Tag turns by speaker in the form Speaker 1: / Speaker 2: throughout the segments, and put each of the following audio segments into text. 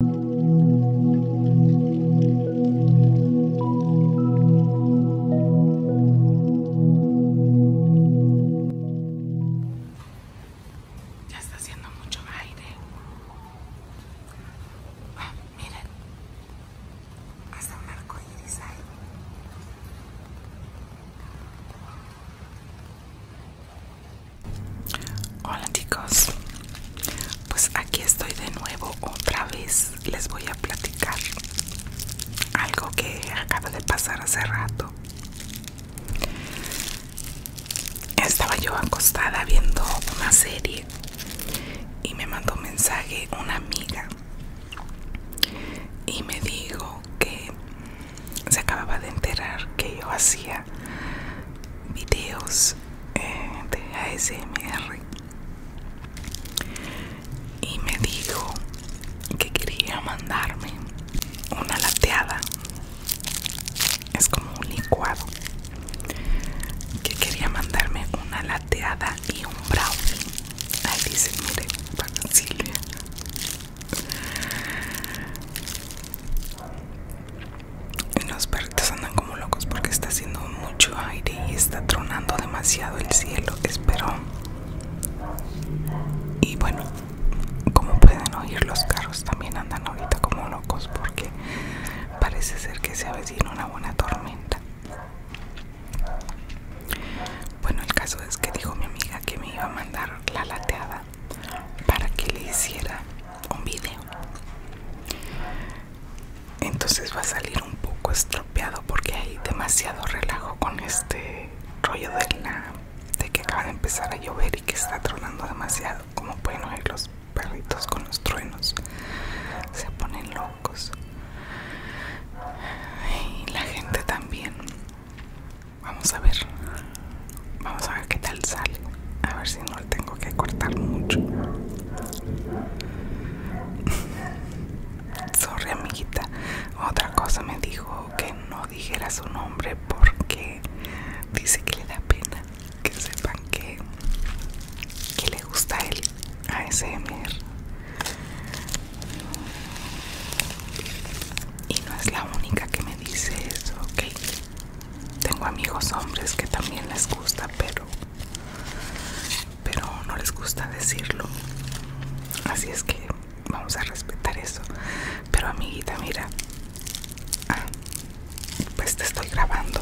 Speaker 1: Ya está haciendo mucho aire. Ah, miren, hasta marco arco iris Hola chicos, pues aquí estoy de nuevo otra vez. Les voy a platicar algo que acaba de pasar hace rato. Estaba yo acostada viendo una serie y me mandó un mensaje una amiga y me dijo que se acababa de enterar que yo hacía videos eh, de ASMR y me dijo que quería mandarme una lateada es como un licuado que quería mandarme una lateada y un brownie ahí dice mire para Silvia los perritos andan como locos porque está haciendo mucho aire y está tronando demasiado el cielo espero y bueno como pueden oír los carros también andan ahorita como locos porque parece ser que se avecina una buena tormenta bueno el caso es que dijo mi amiga que me iba a mandar la lateada para que le hiciera un video. Entonces va a salir un poco estropeado porque hay demasiado relajo con este rollo de, la, de que acaba de empezar a llover y que está tronando demasiado. Como pueden oír los perritos con los truenos, se ponen locos. Y la gente también. Vamos a ver Vamos a ver qué tal sale. A ver si no le tengo que cortar mucho. Sorry amiguita. Otra cosa me dijo que no dijera su nombre porque dice que le da pena que sepan que, que le gusta él a ese ASMR. Y no es la única que me dice eso, ok tengo amigos hombres que también les gusta pero pero no les gusta decirlo así es que vamos a respetar eso pero amiguita mira ah, pues te estoy grabando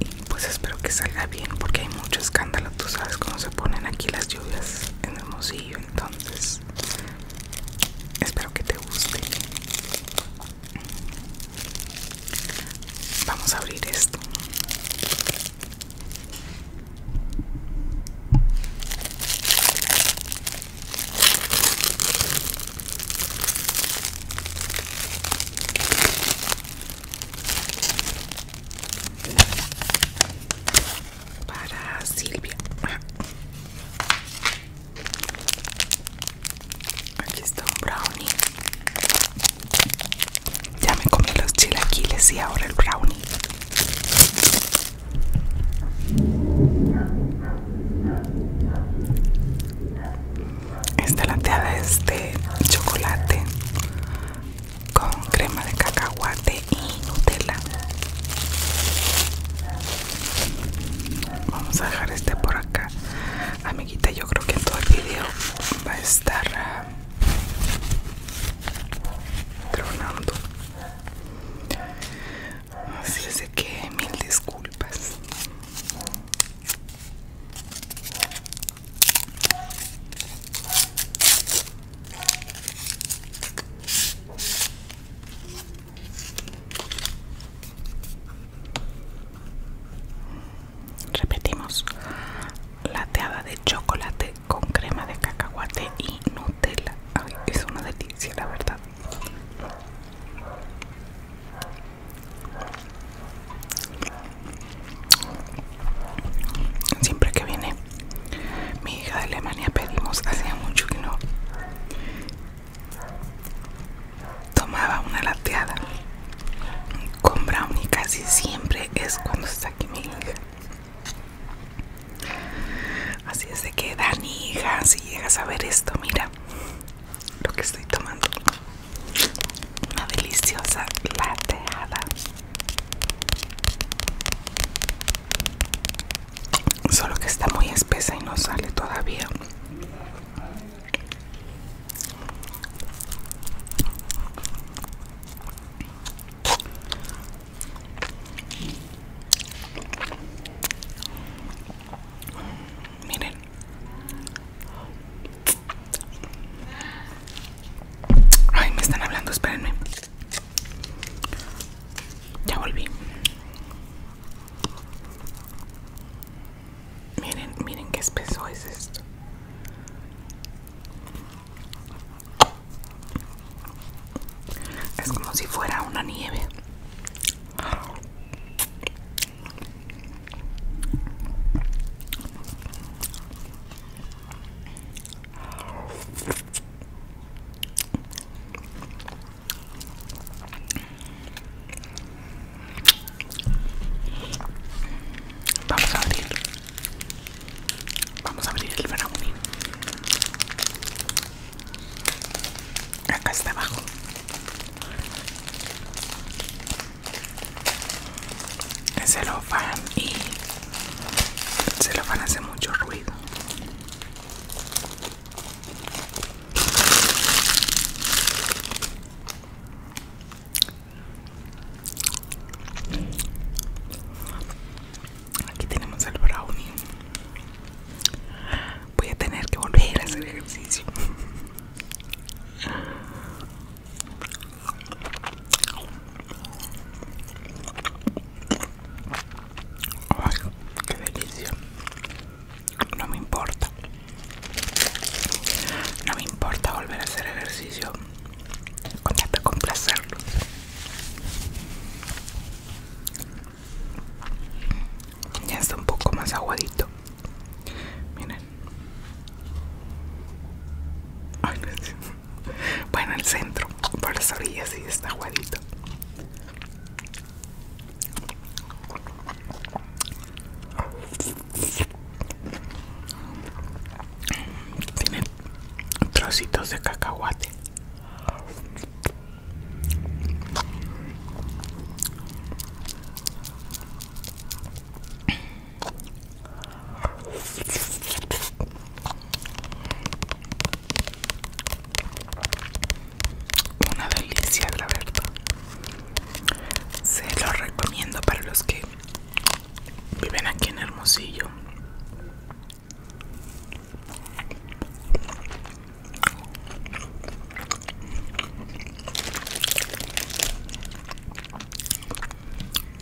Speaker 1: y pues espero que salga bien porque hay mucho escándalo tú sabes cómo se ponen aquí las lluvias en el Hermosillo entonces espero que te guste vamos a abrir esto para Silvia Aquí está un brownie. Ya me comí los chilaquiles y ahora el brownie. Esta lateada es de chocolate con crema de cacahuate y Nutella. Vamos a dejar este por acá. Amiguita, yo creo que en todo el video va a estar ah, tronando. Así es que mil disculpas. Repetimos, lateada de chocolate con crema de cacahuate y Nutella. Ay, es una delicia, la verdad. Siempre que viene mi hija de Alemania pedimos, hacía mucho que no tomaba una lateada con brownie casi siempre es cuando está aquí mi hija así es de que Dani hija si llegas a ver esto mira lo que estoy tomando una deliciosa lateada Solo que está muy espesa y no sale todavía. Miren. Ay, me están hablando, espérenme. Ya volví. Miren, miren qué espeso es esto. Es como si fuera una nieve. Vamos a abrir. Vamos a abrir el brownie. Acá está abajo. El van y el a hace mucho ruido. Aquí tenemos el brownie. Voy a tener que volver a hacer ejercicio. Ay, qué delicia. No me importa. No me importa volver a hacer ejercicio. Con tal complacerlos. Ya está un poco más aguadito. Miren. Ay, no bueno, el centro, por las orillas sí está aguadito. Tiene trocitos de cacahuate. Una delicia, la verdad. Se lo recomiendo para los que viven aquí en Hermosillo.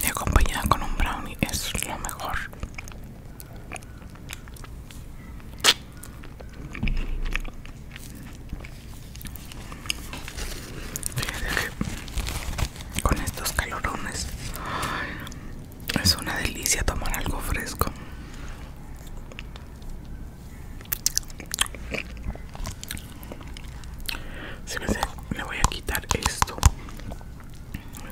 Speaker 1: Y acompañada con un brownie es lo mejor con estos calorones es una delicia tomar algo fresco. me le voy a quitar esto.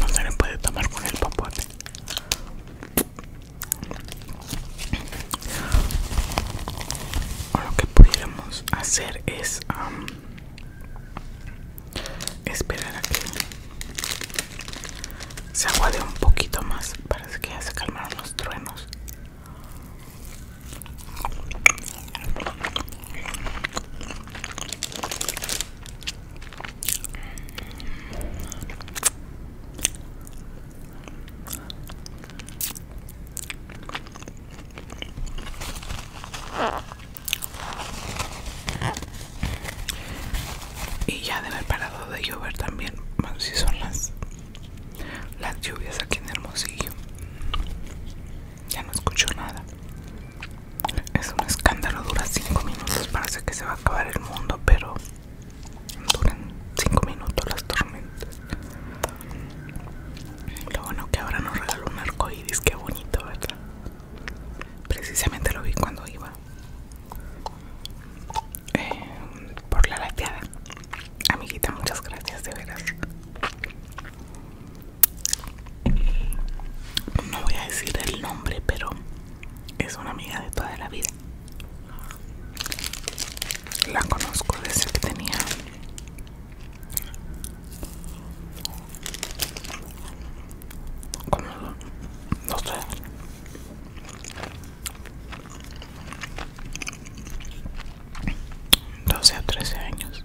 Speaker 1: No se le puede tomar con el papote. lo que pudiéramos hacer es um, esperar a que se aguade un poquito más. Para que ya se calmaron los truenos. Y ya debe haber parado de llover también, bueno, si son las, las lluvias aquí en Hermosillo. Ya no escucho nada. Es un escándalo, dura 5 minutos, parece que se va a acabar el mundo, pero duran 5 minutos las tormentas. Lo bueno que ahora nos regaló un arco iris, qué bonito, ¿verdad? Precisamente lo vi cuando iba eh, por la lateada. Amiguita, muchas gracias, de veras no voy a decir el nombre, pero es una amiga de toda la vida. La conozco desde que tenía 12 o 13 años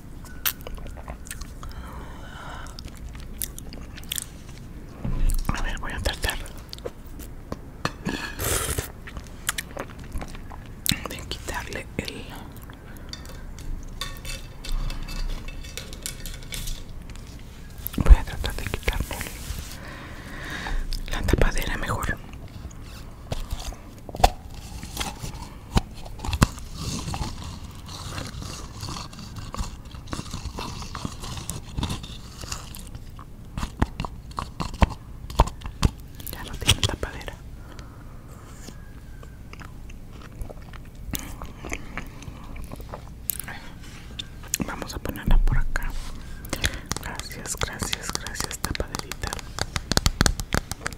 Speaker 1: A ver, voy a tratar de quitarle el voy a tratar de quitarle la tapadera mejor ya no tiene tapadera. Vamos a ponerla por acá. Gracias, gracias, gracias, tapaderita.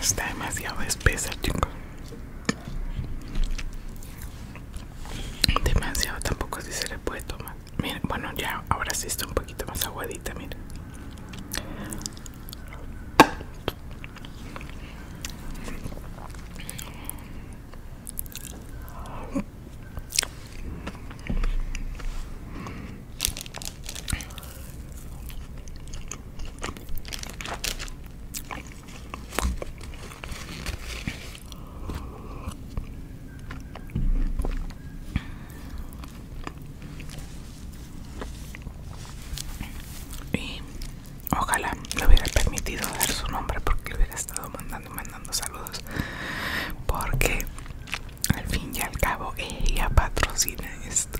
Speaker 1: Está demasiado espesa, chicos. Demasiado tampoco así se le puede tomar. Mire, bueno, ya ahora sí está un poquito más aguadita, mire. Y ojalá le hubiera permitido dar su nombre porque le hubiera estado mandando y mandando saludos. Porque al fin y al cabo ella patrocina esto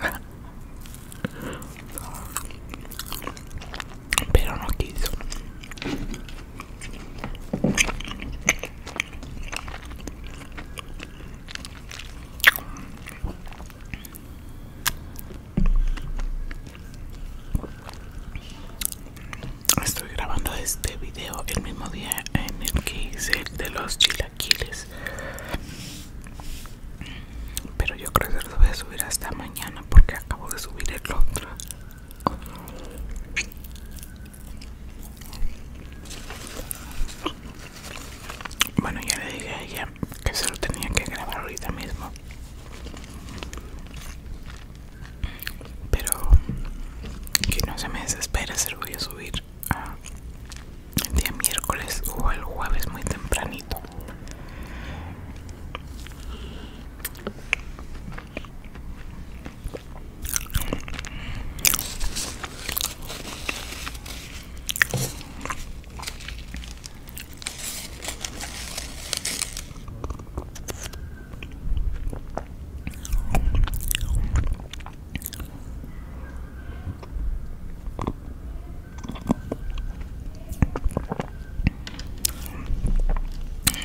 Speaker 1: pero no quiso Estoy grabando este video el mismo día en el que hice de los chiles pero yo creo que lo voy a subir hasta mañana porque acabo de subir el otro. Bueno, ya le dije a ella que se lo tenía que grabar ahorita mismo. Pero que no se me desespera, se lo voy a subir el día miércoles o el jueves muy tempranito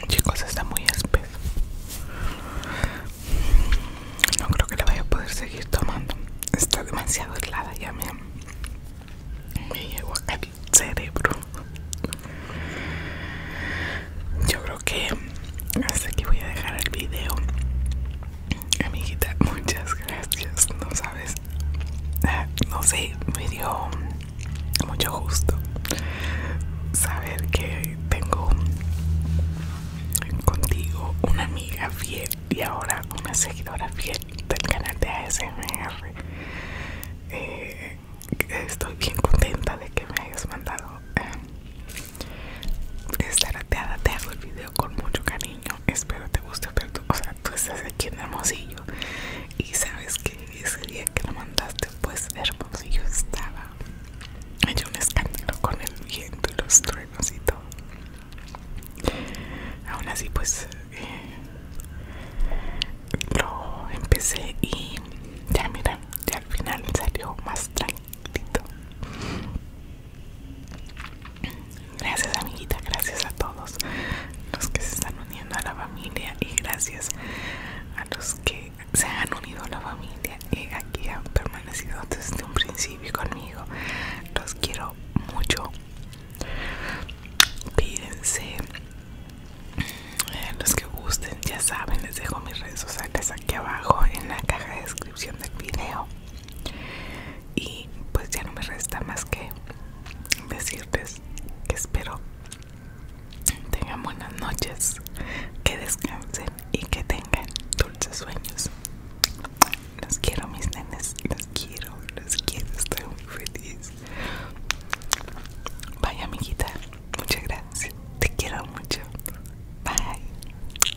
Speaker 1: Chicos, está muy espeso. No creo que la vaya a poder seguir tomando. Está demasiado helada ya me, me llegó al cerebro. Yo creo que hasta aquí voy a dejar el video. Amiguita, muchas gracias. No sabes, eh, no sé, me dio mucho gusto saber que tengo contigo una amiga fiel y ahora una seguidora fiel del canal de ASMR. Eh, estoy bien contenta de que me hayas mandado. esta eh, estar te hago el video con mucho cariño espero te guste, pero tú, o sea, tú estás aquí en Hermosillo y sabes que ese día que lo mandaste, pues Hermosillo estaba hecho un escándalo con el viento y los truenos y todo. Aún así, pues eh, lo empecé y ya mira, ya al final salió más tranquilito. Gracias amiguita, gracias a todos los que se están uniendo a la familia y gracias a los que se han unido a la familia y aquí han permanecido desde un principio conmigo. Los quiero mucho. Pídense. Eh, los que gusten, ya saben, les dejo mis redes sociales aquí abajo en la caja de descripción del video y pues ya no me resta más que decirles que espero tengan buenas noches que descansen y que tengan dulces sueños los quiero mis nenes los quiero los quiero estoy muy feliz Vaya amiguita, muchas gracias. Te quiero mucho. Bye.